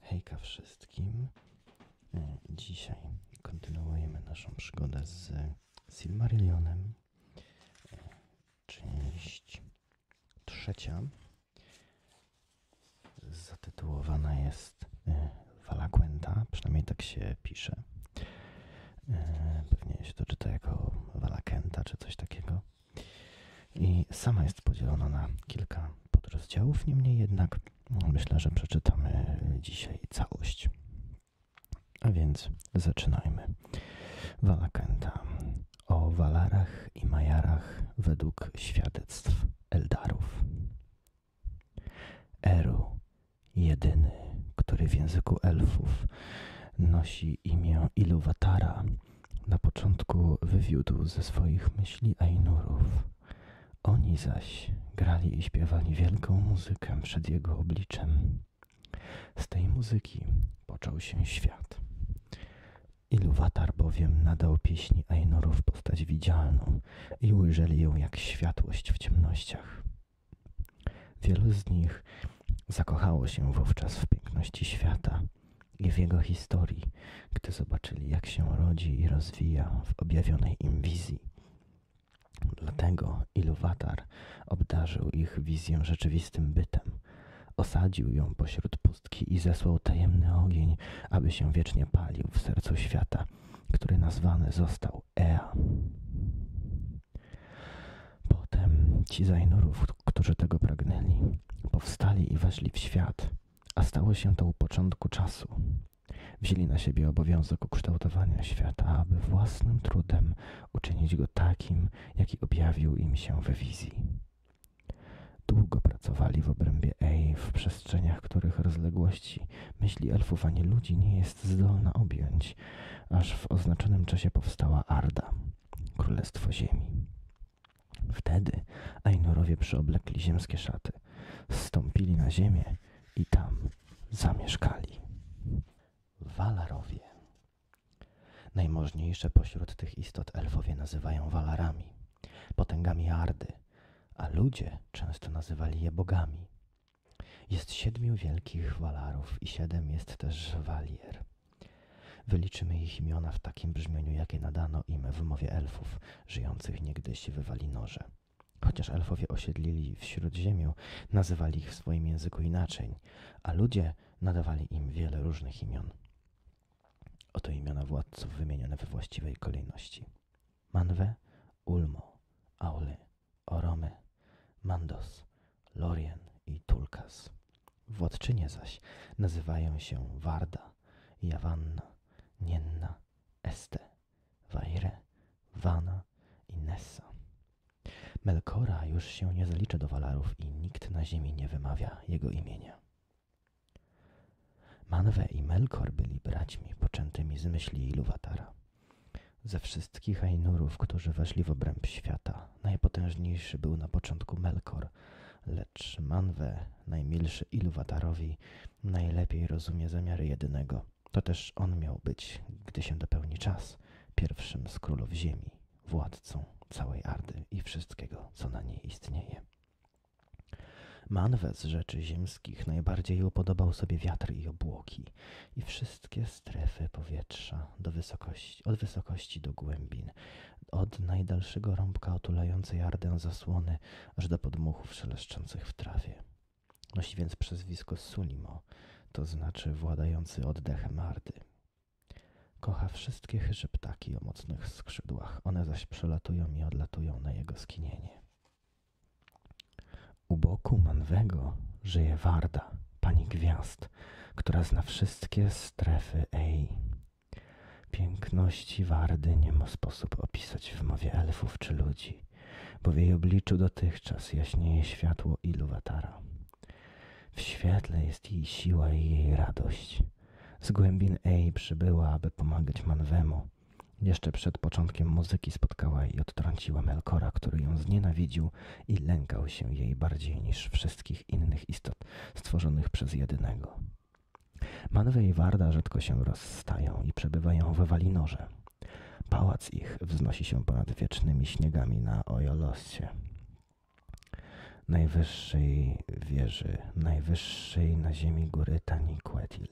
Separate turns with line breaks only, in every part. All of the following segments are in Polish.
Hejka wszystkim. E, dzisiaj kontynuujemy naszą przygodę z Silmarillionem. E, część trzecia zatytułowana jest e, Valaquenta, przynajmniej tak się pisze. Pewnie się to czyta jako Valakenta czy coś takiego. I sama jest podzielona na kilka podrozdziałów, niemniej jednak no, myślę, że przeczytamy dzisiaj całość. A więc zaczynajmy. Walakenta o Walarach i Majarach według świadectw Eldarów. Eru, jedyny, który w języku elfów nosi imię Iluwatara, na początku wywiódł ze swoich myśli Ainurów. Oni zaś grali i śpiewali wielką muzykę przed jego obliczem. Z tej muzyki począł się świat. Iluwatar bowiem nadał pieśni Ainurów postać widzialną i ujrzeli ją jak światłość w ciemnościach. Wielu z nich zakochało się wówczas w piękności świata i w jego historii, gdy zobaczyli, jak się rodzi i rozwija w objawionej im wizji. Dlatego ilu Iluwatar obdarzył ich wizję rzeczywistym bytem, osadził ją pośród pustki i zesłał tajemny ogień, aby się wiecznie palił w sercu świata, który nazwany został Ea. Potem ci Zainurów którzy tego pragnęli, powstali i weszli w świat, a stało się to u początku czasu. Wzięli na siebie obowiązek ukształtowania świata, aby własnym trudem uczynić go takim, jaki objawił im się we wizji. Długo pracowali w obrębie Ej, w przestrzeniach których rozległości myśli elfów ani ludzi nie jest zdolna objąć, aż w oznaczonym czasie powstała Arda, Królestwo Ziemi. Wtedy Ainurowie przyoblekli ziemskie szaty, zstąpili na ziemię i tam zamieszkali. Walarowie. Najmożniejsze pośród tych istot elfowie nazywają walarami, potęgami Ardy, a ludzie często nazywali je bogami. Jest siedmiu wielkich walarów i siedem jest też walier. Wyliczymy ich imiona w takim brzmieniu, jakie nadano im w mowie elfów, żyjących niegdyś w Walinorze. Chociaż elfowie osiedlili w ziemi, nazywali ich w swoim języku inaczej, a ludzie nadawali im wiele różnych imion. Oto imiona władców wymienione we właściwej kolejności. Manwe, Ulmo, Aule, Orome, Mandos, Lorien i Tulkas. Władczynie zaś nazywają się Varda, Jawanna, Nienna, Este, Waire, Vana i Nessa. Melkora już się nie zalicza do Walarów i nikt na ziemi nie wymawia jego imienia. Manwe i Melkor byli braćmi poczętymi z myśli Iluwatara. Ze wszystkich Ainurów, którzy weszli w obręb świata, najpotężniejszy był na początku Melkor, lecz Manwe, najmilszy Ilwatarowi, najlepiej rozumie zamiary jedynego. To też on miał być, gdy się dopełni czas, pierwszym z królów ziemi, władcą całej Ardy i wszystkiego, co na niej istnieje. Manwę z rzeczy ziemskich najbardziej upodobał sobie wiatr i obłoki i wszystkie strefy powietrza do wysokości, od wysokości do głębin od najdalszego rąbka otulającej Ardę zasłony, aż do podmuchów szeleszczących w trawie. Nosi więc przezwisko Sulimo, to znaczy władający oddechem Ardy. Kocha wszystkie chyże ptaki o mocnych skrzydłach, one zaś przelatują i odlatują na jego skinienie. U boku Manwego żyje Warda, pani gwiazd, która zna wszystkie strefy Ej. Piękności Wardy nie ma sposób opisać w mowie elfów czy ludzi, bo w jej obliczu dotychczas jaśnieje światło Ilu Iluwatara. W świetle jest jej siła i jej radość. Z głębin Ej przybyła, aby pomagać Manwemu. Jeszcze przed początkiem muzyki spotkała i odtrąciła Melkora, który ją znienawidził i lękał się jej bardziej niż wszystkich innych istot stworzonych przez jedynego. Manwe i Warda rzadko się rozstają i przebywają we Walinorze. Pałac ich wznosi się ponad wiecznymi śniegami na Ojolosie. Najwyższej wieży, najwyższej na ziemi góry Taniquetil.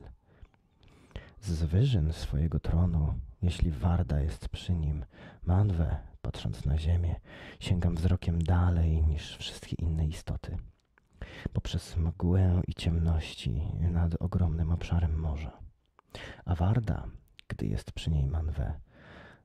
Z wyżyn swojego tronu, jeśli Warda jest przy nim, manwę, patrząc na ziemię, sięgam wzrokiem dalej niż wszystkie inne istoty. Poprzez mgłę i ciemności nad ogromnym obszarem morza. A Warda, gdy jest przy niej manwę,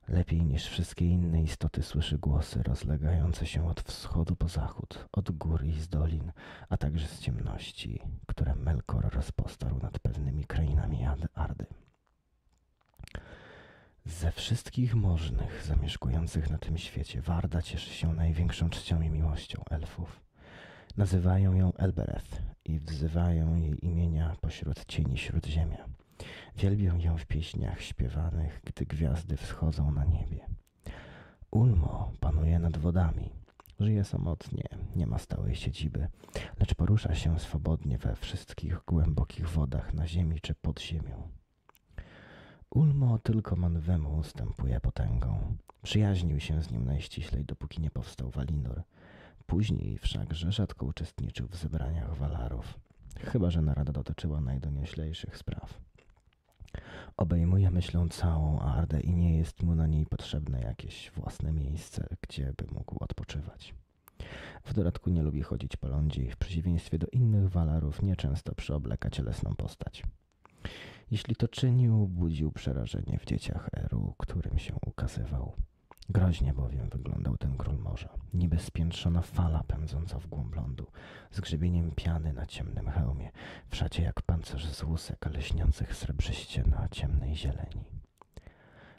lepiej niż wszystkie inne istoty słyszy głosy rozlegające się od wschodu po zachód, od gór i z dolin, a także z ciemności, które Melkor rozpostarł nad pewnymi krainami Ardy. Ze wszystkich możnych zamieszkujących na tym świecie Warda cieszy się największą czcią i miłością elfów. Nazywają ją Elbereth i wzywają jej imienia pośród cieni śródziemia. Wielbią ją w pieśniach śpiewanych, gdy gwiazdy wschodzą na niebie. Ulmo panuje nad wodami. Żyje samotnie, nie ma stałej siedziby lecz porusza się swobodnie we wszystkich głębokich wodach na ziemi czy pod ziemią. Ulmo tylko Manwemu ustępuje potęgą. Przyjaźnił się z nim najściślej, dopóki nie powstał Walinor. Później wszakże rzadko uczestniczył w zebraniach Walarów, chyba że narada dotyczyła najdonioślejszych spraw. Obejmuje myślą całą Ardę i nie jest mu na niej potrzebne jakieś własne miejsce, gdzie by mógł odpoczywać. W dodatku nie lubi chodzić po lądzi, w przeciwieństwie do innych walarów nieczęsto przyobleka cielesną postać. Jeśli to czynił, budził przerażenie w dzieciach Eru, którym się ukazywał. Groźnie bowiem wyglądał ten król morza, niby spiętrzona fala pędząca w głąb lądu, z grzebieniem piany na ciemnym hełmie, w szacie jak pancerz z łusek, ale śniących srebrzyście na ciemnej zieleni.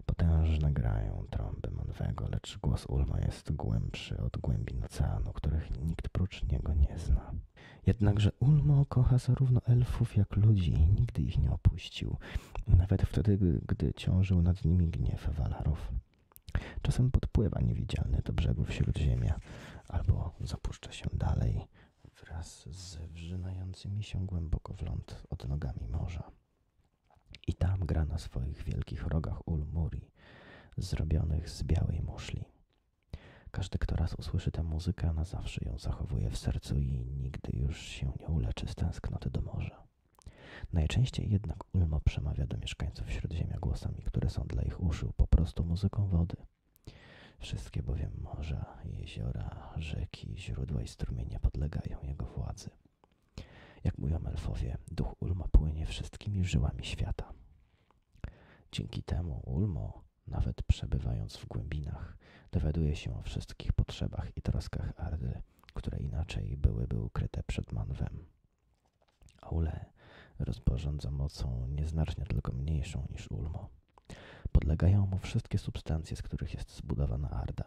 Potężne grają trąby Manwego, lecz głos Ulmo jest głębszy od głębin oceanu, których nikt prócz niego nie zna. Jednakże Ulmo kocha zarówno elfów jak ludzi i nigdy ich nie opuścił, nawet wtedy, gdy ciążył nad nimi gniew Walarów. Czasem podpływa niewidzialny do brzegów Śródziemia albo zapuszcza się dalej wraz z wrzynającymi się głęboko w ląd odnogami morza. I tam gra na swoich wielkich rogach Ulmuri, zrobionych z białej muszli. Każdy, kto raz usłyszy tę muzykę, na zawsze ją zachowuje w sercu i nigdy już się nie uleczy z tęsknoty do morza. Najczęściej jednak Ulmo przemawia do mieszkańców Śródziemia głosami, które są dla ich uszu po prostu muzyką wody. Wszystkie bowiem morza, jeziora, rzeki, źródła całej strumienie podlegają jego władzy. Jak mówią elfowie, duch Ulma płynie wszystkimi żyłami świata. Dzięki temu Ulmo, nawet przebywając w głębinach, dowiaduje się o wszystkich potrzebach i troskach Ardy, które inaczej byłyby ukryte przed Manwem. Aule rozporządza mocą nieznacznie tylko mniejszą niż Ulmo. Podlegają mu wszystkie substancje, z których jest zbudowana Arda.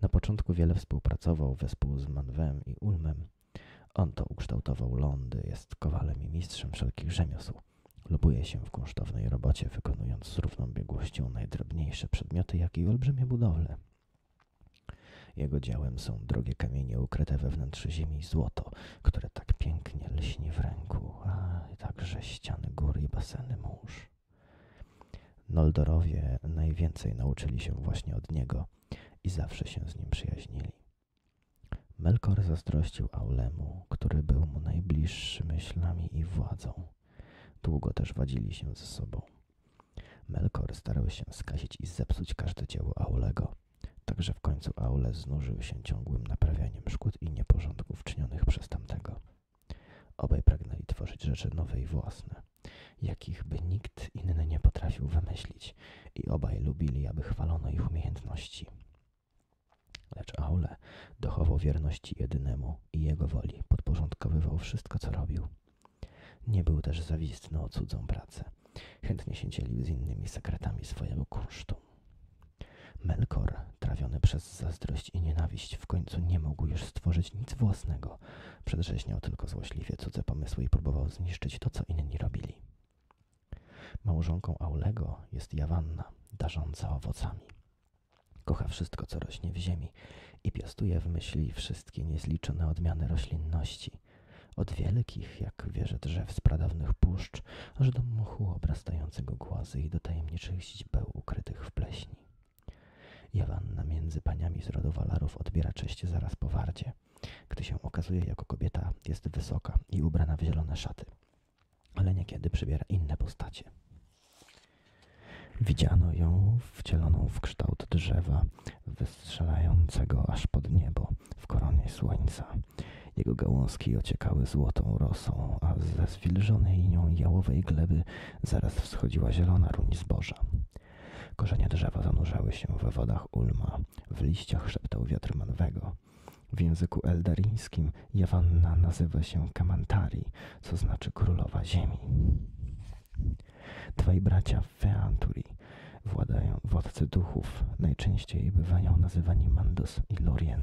Na początku wiele współpracował wespół z Manwem i Ulmem. On to ukształtował lądy, jest kowalem i mistrzem wszelkich rzemiosł. Lubuje się w kunsztownej robocie, wykonując z równą biegłością najdrobniejsze przedmioty, jak i olbrzymie budowle. Jego dziełem są drogie kamienie ukryte we wnętrzu ziemi i złoto, które tak pięknie lśni w ręku, a także ściany gór i baseny mórz. Noldorowie najwięcej nauczyli się właśnie od niego i zawsze się z nim przyjaźnili. Melkor zazdrościł Aulemu, który był mu najbliższy myślami i władzą. Długo też wadzili się ze sobą. Melkor starał się skasić i zepsuć każde dzieło Aulego, tak że w końcu Aule znużył się ciągłym naprawianiem szkód i nieporządków czynionych przez tamtego. Obaj pragnęli tworzyć rzeczy nowe i własne, jakich by nikt inny nie potrafił wymyślić i obaj lubili, aby chwalono ich umiejętności. Lecz Aule dochował wierności jedynemu i jego woli, podporządkowywał wszystko, co robił. Nie był też zawistny o cudzą pracę. Chętnie się dzielił z innymi sekretami swojego kunsztu. Melkor, trawiony przez zazdrość i nienawiść, w końcu nie mógł już stworzyć nic własnego. Przedrzeźniał tylko złośliwie cudze pomysły i próbował zniszczyć to, co inni robili. Małżonką Aulego jest Jawanna, darząca owocami. Kocha wszystko, co rośnie w ziemi i piastuje w myśli wszystkie niezliczone odmiany roślinności. Od wielkich, jak wieże drzew z pradawnych puszcz, aż do muchu obrastającego głazy i do tajemniczych sześć ukrytych w pleśni. Jowanna między paniami z rodu Walarów odbiera cześć zaraz po wardzie, gdy się okazuje jako kobieta jest wysoka i ubrana w zielone szaty, ale niekiedy przybiera inne postacie. Widziano ją wcieloną w kształt drzewa, wystrzelającego aż pod niebo w koronie słońca. Jego gałązki ociekały złotą rosą, a ze zwilżonej nią jałowej gleby zaraz wschodziła zielona ruń zboża. Korzenie drzewa zanurzały się we wodach Ulma, w liściach szeptał wiatr manwego. W języku eldaryjskim Jawanna nazywa się Kamantari, co znaczy królowa ziemi. Dwaj bracia Feanturi, władają, władcy duchów, najczęściej bywają nazywani Mandos i Lorien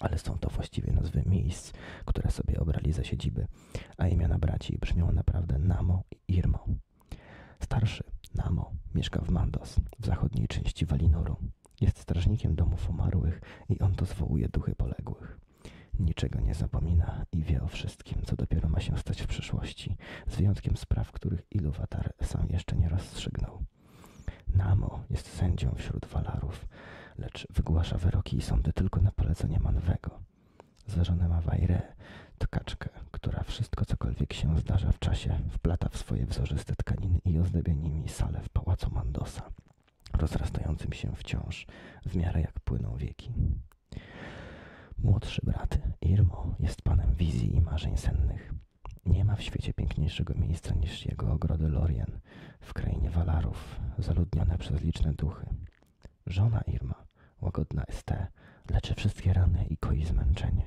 ale są to właściwie nazwy miejsc, które sobie obrali za siedziby, a imiona braci brzmią naprawdę Namo i Irmo. Starszy Namo mieszka w Mandos, w zachodniej części Walinoru. Jest strażnikiem domów umarłych i on to zwołuje duchy poległych. Niczego nie zapomina i wie o wszystkim, co dopiero ma się stać w przyszłości, z wyjątkiem spraw, których Iluwatar sam jeszcze nie rozstrzygnął. Namo jest sędzią wśród walarów, lecz wygłasza wyroki i sądy tylko na polecenie Manwego. Za żonę ma Wajre, tkaczkę, która wszystko cokolwiek się zdarza w czasie wplata w swoje wzorzyste tkaniny i ozdabia nimi salę w pałacu Mandosa, rozrastającym się wciąż w miarę jak płyną wieki. Młodszy brat Irmo jest panem wizji i marzeń sennych. Nie ma w świecie piękniejszego miejsca niż jego ogrody Lorien w krainie Walarów, zaludnione przez liczne duchy. Żona Irma, łagodna Este, leczy wszystkie rany i koi zmęczenie.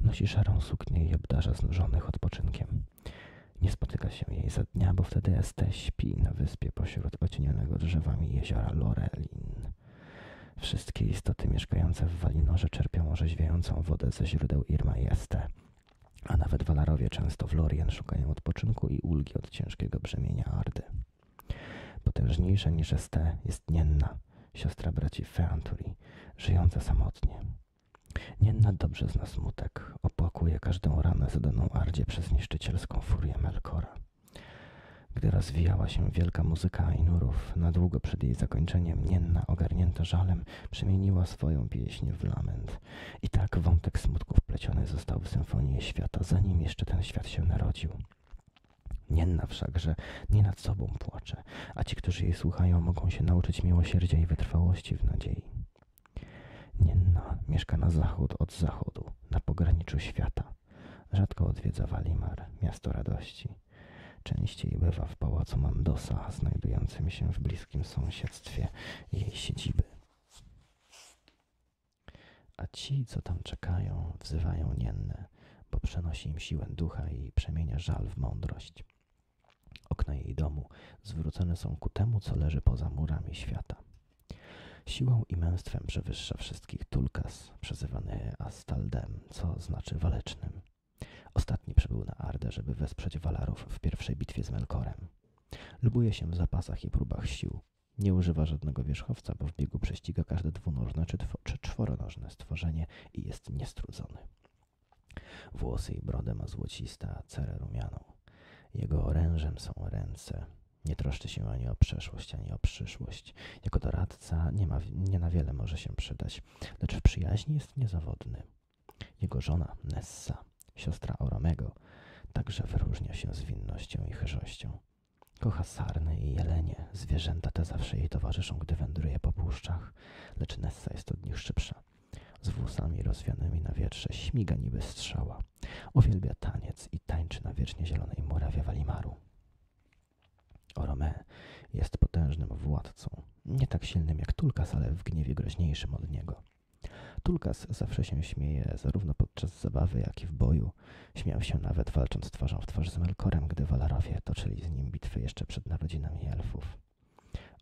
Nosi szarą suknię i obdarza znużonych odpoczynkiem. Nie spotyka się jej za dnia, bo wtedy Este śpi na wyspie pośród ocienionego drzewami jeziora Lorelin. Wszystkie istoty mieszkające w Walinorze czerpią orzeźwiającą wodę ze źródeł Irma i Este – a nawet walarowie często w Lorien szukają odpoczynku i ulgi od ciężkiego brzemienia Ardy. Potężniejsza niż Este jest Nienna, siostra braci Feanturi, żyjąca samotnie. Nienna dobrze zna smutek, opłakuje każdą ranę zadaną Ardzie przez niszczycielską furię Melkora. Gdy rozwijała się wielka muzyka Ainurów, na długo przed jej zakończeniem Nienna, ogarnięta żalem, przemieniła swoją pieśń w lament. I tak wątek smutków pleciony został w symfonię świata, zanim jeszcze ten świat się narodził. Nienna wszakże nie nad sobą płacze, a ci, którzy jej słuchają, mogą się nauczyć miłosierdzia i wytrwałości w nadziei. Nienna mieszka na zachód od zachodu, na pograniczu świata. Rzadko odwiedza Walimar, miasto radości. Częściej bywa w pałacu Mandosa, znajdującym się w bliskim sąsiedztwie jej siedziby. A ci, co tam czekają, wzywają Niennę, bo przenosi im siłę ducha i przemienia żal w mądrość. Okna jej domu zwrócone są ku temu, co leży poza murami świata. Siłą i męstwem przewyższa wszystkich Tulkas, przezywany Astaldem, co znaczy walecznym. Ostatni przybył na Arde, żeby wesprzeć Walarów w pierwszej bitwie z Melkorem. Lubuje się w zapasach i próbach sił. Nie używa żadnego wierzchowca, bo w biegu prześciga każde dwunożne czy, czy czworonożne stworzenie i jest niestrudzony. Włosy i brodę ma złocista, a cerę rumianą. Jego orężem są ręce. Nie troszczy się ani o przeszłość, ani o przyszłość. Jako doradca nie na wiele może się przydać, lecz w przyjaźni jest niezawodny. Jego żona Nessa, siostra Oromego, także wyróżnia się zwinnością i chyżością. Kocha sarny i jelenie, zwierzęta te zawsze jej towarzyszą, gdy wędruje po puszczach, lecz Nessa jest od nich szybsza. Z włosami rozwianymi na wietrze śmiga niby strzała. Uwielbia taniec i tańczy na wiecznie zielonej murawie Walimaru. Orome jest potężnym władcą, nie tak silnym jak Tulkas, ale w gniewie groźniejszym od niego. Tulkas zawsze się śmieje, zarówno podczas zabawy, jak i w boju. Śmiał się nawet walcząc twarzą w twarz z Melkorem, gdy Walarowie toczyli z nim bitwy jeszcze przed narodzinami elfów.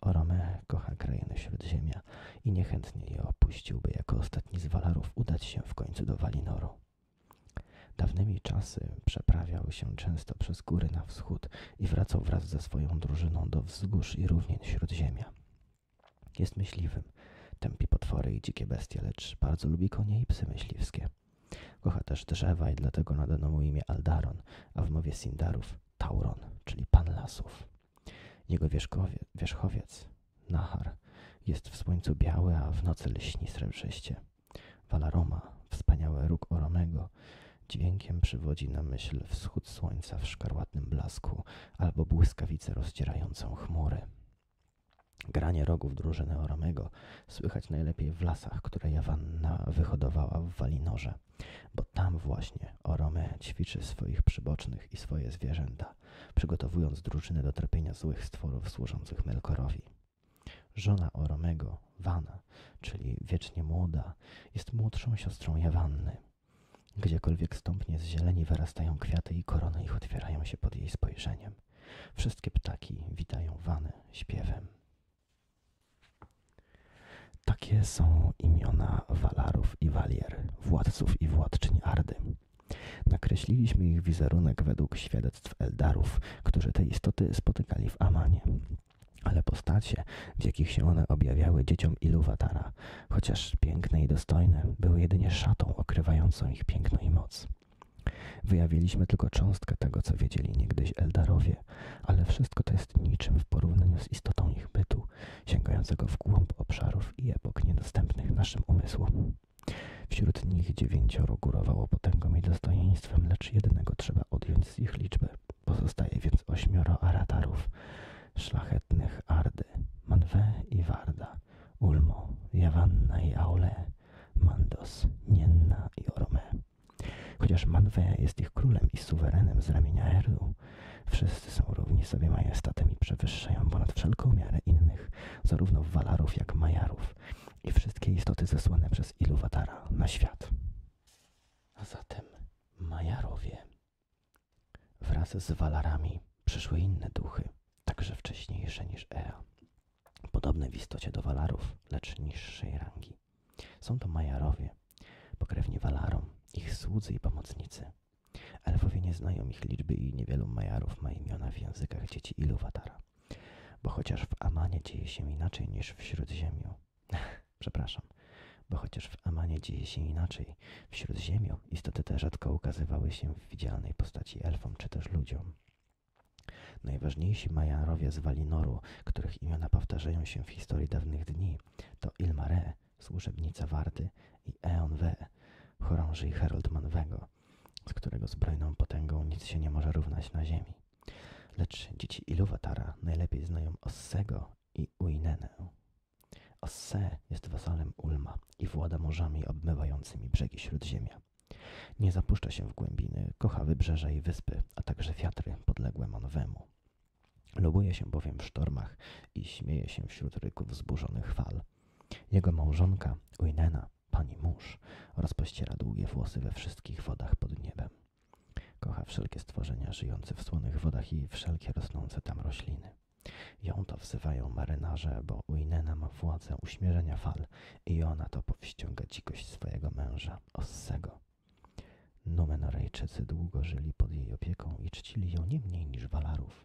Orome kocha krainy Śródziemia i niechętnie je opuściłby jako ostatni z Walarów udać się w końcu do Walinoru. Dawnymi czasy przeprawiał się często przez góry na wschód, i wracał wraz ze swoją drużyną do wzgórz i równien Śródziemia. Jest myśliwym, tępi potwory i dzikie bestie, lecz bardzo lubi konie i psy myśliwskie. Kocha też drzewa i dlatego nadano mu imię Aldaron, a w mowie Sindarów Tauron, czyli Pan Lasów. Jego wierzchowiec, Nahar, jest w słońcu biały, a w nocy lśni srebrzyście. Walaroma, wspaniały róg Oromego, dźwiękiem przywodzi na myśl wschód słońca w szkarłatnym blasku albo błyskawice rozdzierającą chmury. Granie rogów drużyny Oromego słychać najlepiej w lasach, które Jawanna wyhodowała w Walinorze, bo tam właśnie Orome ćwiczy swoich przybocznych i swoje zwierzęta, przygotowując drużynę do trapienia złych stworów służących Melkorowi. Żona Oromego, Vana, czyli wiecznie młoda, jest młodszą siostrą Jawanny. Gdziekolwiek stąpnie z zieleni wyrastają kwiaty i korony ich otwierają się pod jej spojrzeniem. Wszystkie ptaki witają Wanę śpiewem. Takie są imiona Valarów i walier, władców i władczyń Ardy. Nakreśliliśmy ich wizerunek według świadectw Eldarów, którzy te istoty spotykali w Amanie. Ale postacie, w jakich się one objawiały dzieciom Iluwatara, chociaż piękne i dostojne, były jedynie szatą okrywającą ich piękno i moc. Wyjawiliśmy tylko cząstkę tego, co wiedzieli niegdyś Eldarowie, ale wszystko to jest niczym w porównaniu z istotą ich bytu, sięgającego w głąb obszarów i epok niedostępnych naszym umysłom. Wśród nich dziewięcioro górowało potęgą i dostojeństwem posłuszeństwem, lecz jednego trzeba odjąć z ich liczby. Pozostaje więc ośmioro aratarów szlachetnych Ardy, Manwe i Warda, Ulmo, Jawanna i Aule, Mandos, Nienna i Orme. Chociaż Manwe jest ich królem i suwerenem z ramienia Erdu, wszyscy są równi sobie majestatem i przewyższają ponad wszelką miarę innych, zarówno walarów jak majarów, i wszystkie istoty zesłane przez Iluwatara na świat. A zatem Majarowie wraz z Walarami przyszły inne duchy, także wcześniejsze niż Ea, podobne w istocie do Walarów, lecz niższej rangi. Są to Majarowie, pokrewni Walarom, ich słudzy i pomocnicy. Elfowie nie znają ich liczby i niewielu Majarów ma imiona w językach dzieci Iluwatara. Bo chociaż w Amanie dzieje się inaczej niż w Śródziemiu. Przepraszam. Bo chociaż w Amanie dzieje się inaczej, w Śródziemiu istoty te rzadko ukazywały się w widzialnej postaci elfom czy też ludziom. Najważniejsi Majarowie z Noru, których imiona powtarzają się w historii dawnych dni, to Ilmare, służebnica wardy i Eon We, chorąży i Harold Manwego, z którego zbrojną potęgą nic się nie może równać na ziemi. Lecz dzieci Iluwatara najlepiej znają Ossego i Uinenę. Osse jest wasalem Ulma i włada morzami obmywającymi brzegi Śródziemia. Nie zapuszcza się w głębiny, kocha wybrzeża i wyspy, a także wiatry podległe Monwemu. Lubuje się bowiem w sztormach i śmieje się wśród ryków wzburzonych fal. Jego małżonka, Uinena, pani mórz, rozpościera długie włosy we wszystkich wodach pod niebem. Kocha wszelkie stworzenia żyjące w słonych wodach i wszelkie rosnące tam rośliny. Ją to wzywają marynarze, bo Uinena ma władzę uśmierzenia fal i ona to powściąga dzikość swojego męża, Ossego. Numenorejczycy długo żyli pod jej opieką i czcili ją nie mniej niż Walarów.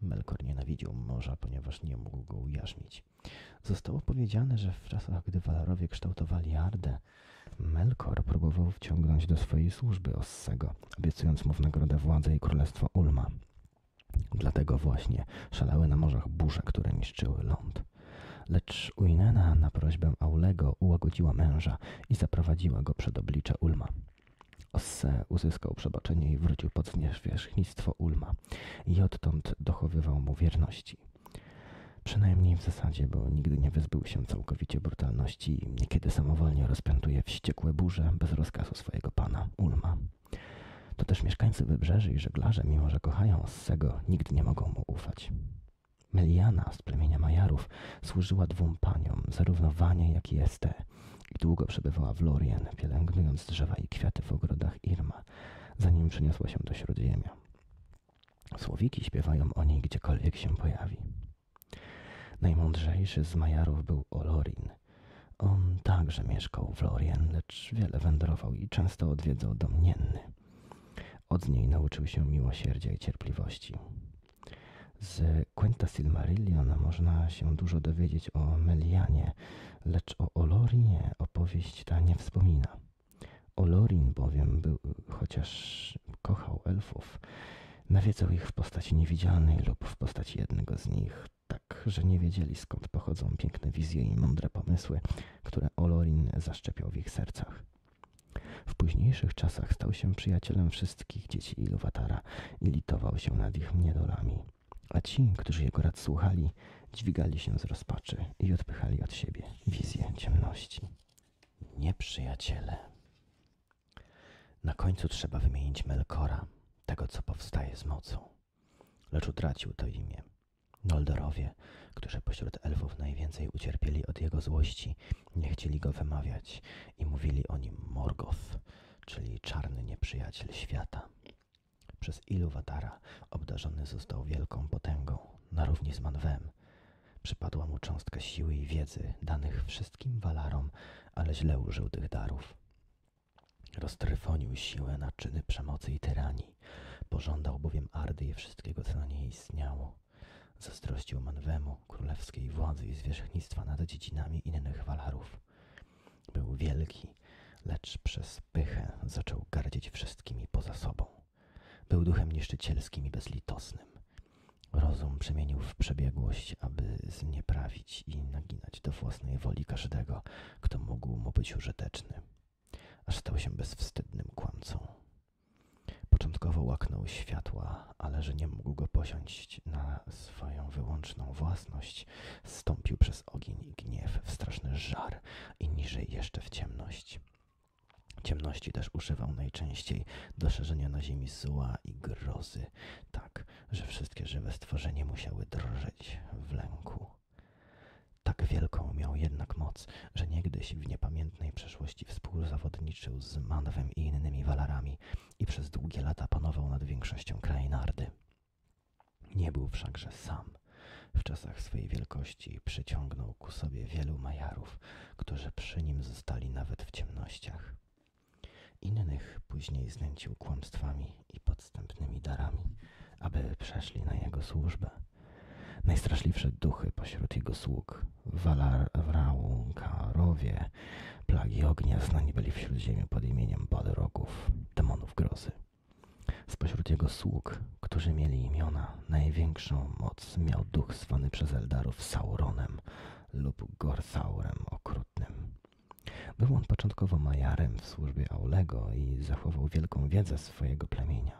Melkor nienawidził morza, ponieważ nie mógł go ujarzmić Zostało powiedziane, że w czasach, gdy Walarowie kształtowali Ardę, Melkor próbował wciągnąć do swojej służby Ossego, obiecując mu w nagrodę władzę i królestwo Ulma. Dlatego właśnie szalały na morzach burze, które niszczyły ląd. Lecz Uinena na prośbę Aulego ułagodziła męża i zaprowadziła go przed oblicze Ulma. Osse uzyskał przebaczenie i wrócił pod zwierzchnictwo Ulma. Hetmana i odtąd dochowywał mu wierności. Przynajmniej w zasadzie, bo nigdy nie wyzbył się całkowicie brutalności i niekiedy samowolnie rozpętuje wściekłe burze bez rozkazu swojego pana, Ulma. To też mieszkańcy wybrzeży i żeglarze, mimo że kochają Ossego, nigdy nie mogą mu ufać. Meliana z plemienia Majarów służyła dwóm paniom, zarówno Wanie, jak i Este, i długo przebywała w Lorien, pielęgnując drzewa i kwiaty w ogrodach Irma zanim przyniosła się do śródziemia. Słowiki śpiewają o niej gdziekolwiek się pojawi. Najmądrzejszy z Majarów był Olorin. On także mieszkał w Lorien, lecz wiele wędrował i często odwiedzał domnienny. Od niej nauczył się miłosierdzia i cierpliwości. Z Kuenta Silmarillion można się dużo dowiedzieć o Melianie, lecz o Olorinie opowieść ta nie wspomina. Olorin bowiem był, chociaż kochał elfów, nawiedzał ich w postaci niewidzialnej lub w postaci jednego z nich, tak, że nie wiedzieli skąd pochodzą piękne wizje i mądre pomysły, które Olorin zaszczepiał w ich sercach. W późniejszych czasach stał się przyjacielem wszystkich dzieci Iluwatara i litował się nad ich niedolami. A ci, którzy jego rad słuchali, dźwigali się z rozpaczy i odpychali od siebie wizję ciemności. Nieprzyjaciele. Na końcu trzeba wymienić Melkora, tego co powstaje z mocą. Lecz utracił to imię. Noldorowie, którzy pośród elfów najwięcej ucierpieli od jego złości, nie chcieli go wymawiać i mówili o nim Morgoth, czyli czarny nieprzyjaciel świata. Przez ilu Iluwatara obdarzony został wielką potęgą, na równi z Manwem. Przypadła mu cząstka siły i wiedzy danych wszystkim walarom, ale źle użył tych darów. Roztryfonił siłę na czyny przemocy i tyranii. Pożądał bowiem Ardy i wszystkiego, co na niej istniało. Zazdrościł Manwemu królewskiej władzy i zwierzchnictwa nad dziedzinami innych walarów. Był wielki, lecz przez pychę zaczął gardzić wszystkimi poza sobą. Był duchem niszczycielskim i bezlitosnym. Rozum przemienił w przebiegłość, aby znieprawić i naginać do własnej woli każdego, kto mógł mu być użyteczny. Aż stał się bezwstydnym kłamcą. Początkowo łaknął światła, ale że nie mógł go posiąść na swoją wyłączną własność, Stąpił przez ogień i gniew, w straszny żar i niżej jeszcze w ciemność. Ciemności też używał najczęściej do szerzenia na ziemi zła i grozy, tak, że wszystkie żywe stworzenia musiały drżeć w lęku. Tak wielką miał jednak moc, że niegdyś w niepamiętnej przeszłości współzawodniczył z Manwem i innymi walarami i przez długie lata panował nad większością krajnardy. Nie był wszakże sam. W czasach swojej wielkości przyciągnął ku sobie wielu majarów, którzy przy nim zostali nawet w ciemnościach. Innych później znęcił kłamstwami i podstępnymi darami, aby przeszli na jego służbę. Najstraszliwsze duchy pośród jego sług, Walarwraukarowie, plagi ognia znani byli w ziemi pod imieniem Badroków, demonów grozy. Spośród jego sług, którzy mieli imiona, największą moc miał duch zwany przez Eldarów Sauronem lub Gorthaurem Okrutnym. Był on początkowo majarem w służbie Aulego i zachował wielką wiedzę swojego plemienia.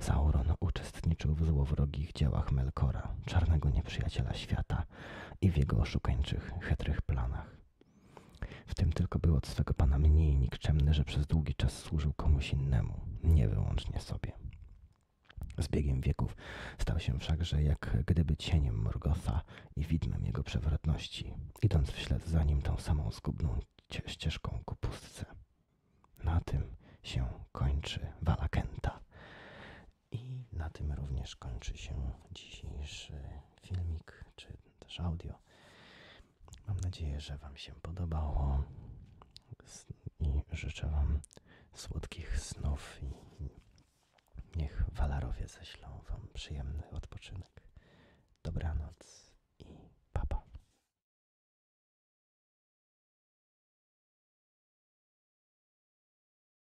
Sauron uczestniczył w złowrogich działach Melkora, czarnego nieprzyjaciela świata i w jego oszukańczych, chytrych planach. W tym tylko był od swego pana mniej nikczemny, że przez długi czas służył komuś innemu, nie wyłącznie sobie. Z biegiem wieków stał się wszakże jak gdyby cieniem Morgotha i widmem jego przewrotności, idąc w ślad za nim tą samą zgubną ścieżką ku pustce. Na tym się kończy Walakenta. I na tym również kończy się dzisiejszy filmik, czy też audio. Mam nadzieję, że Wam się podobało i życzę Wam słodkich snów i niech walarowie ześlą Wam przyjemny odpoczynek. Dobranoc i papa.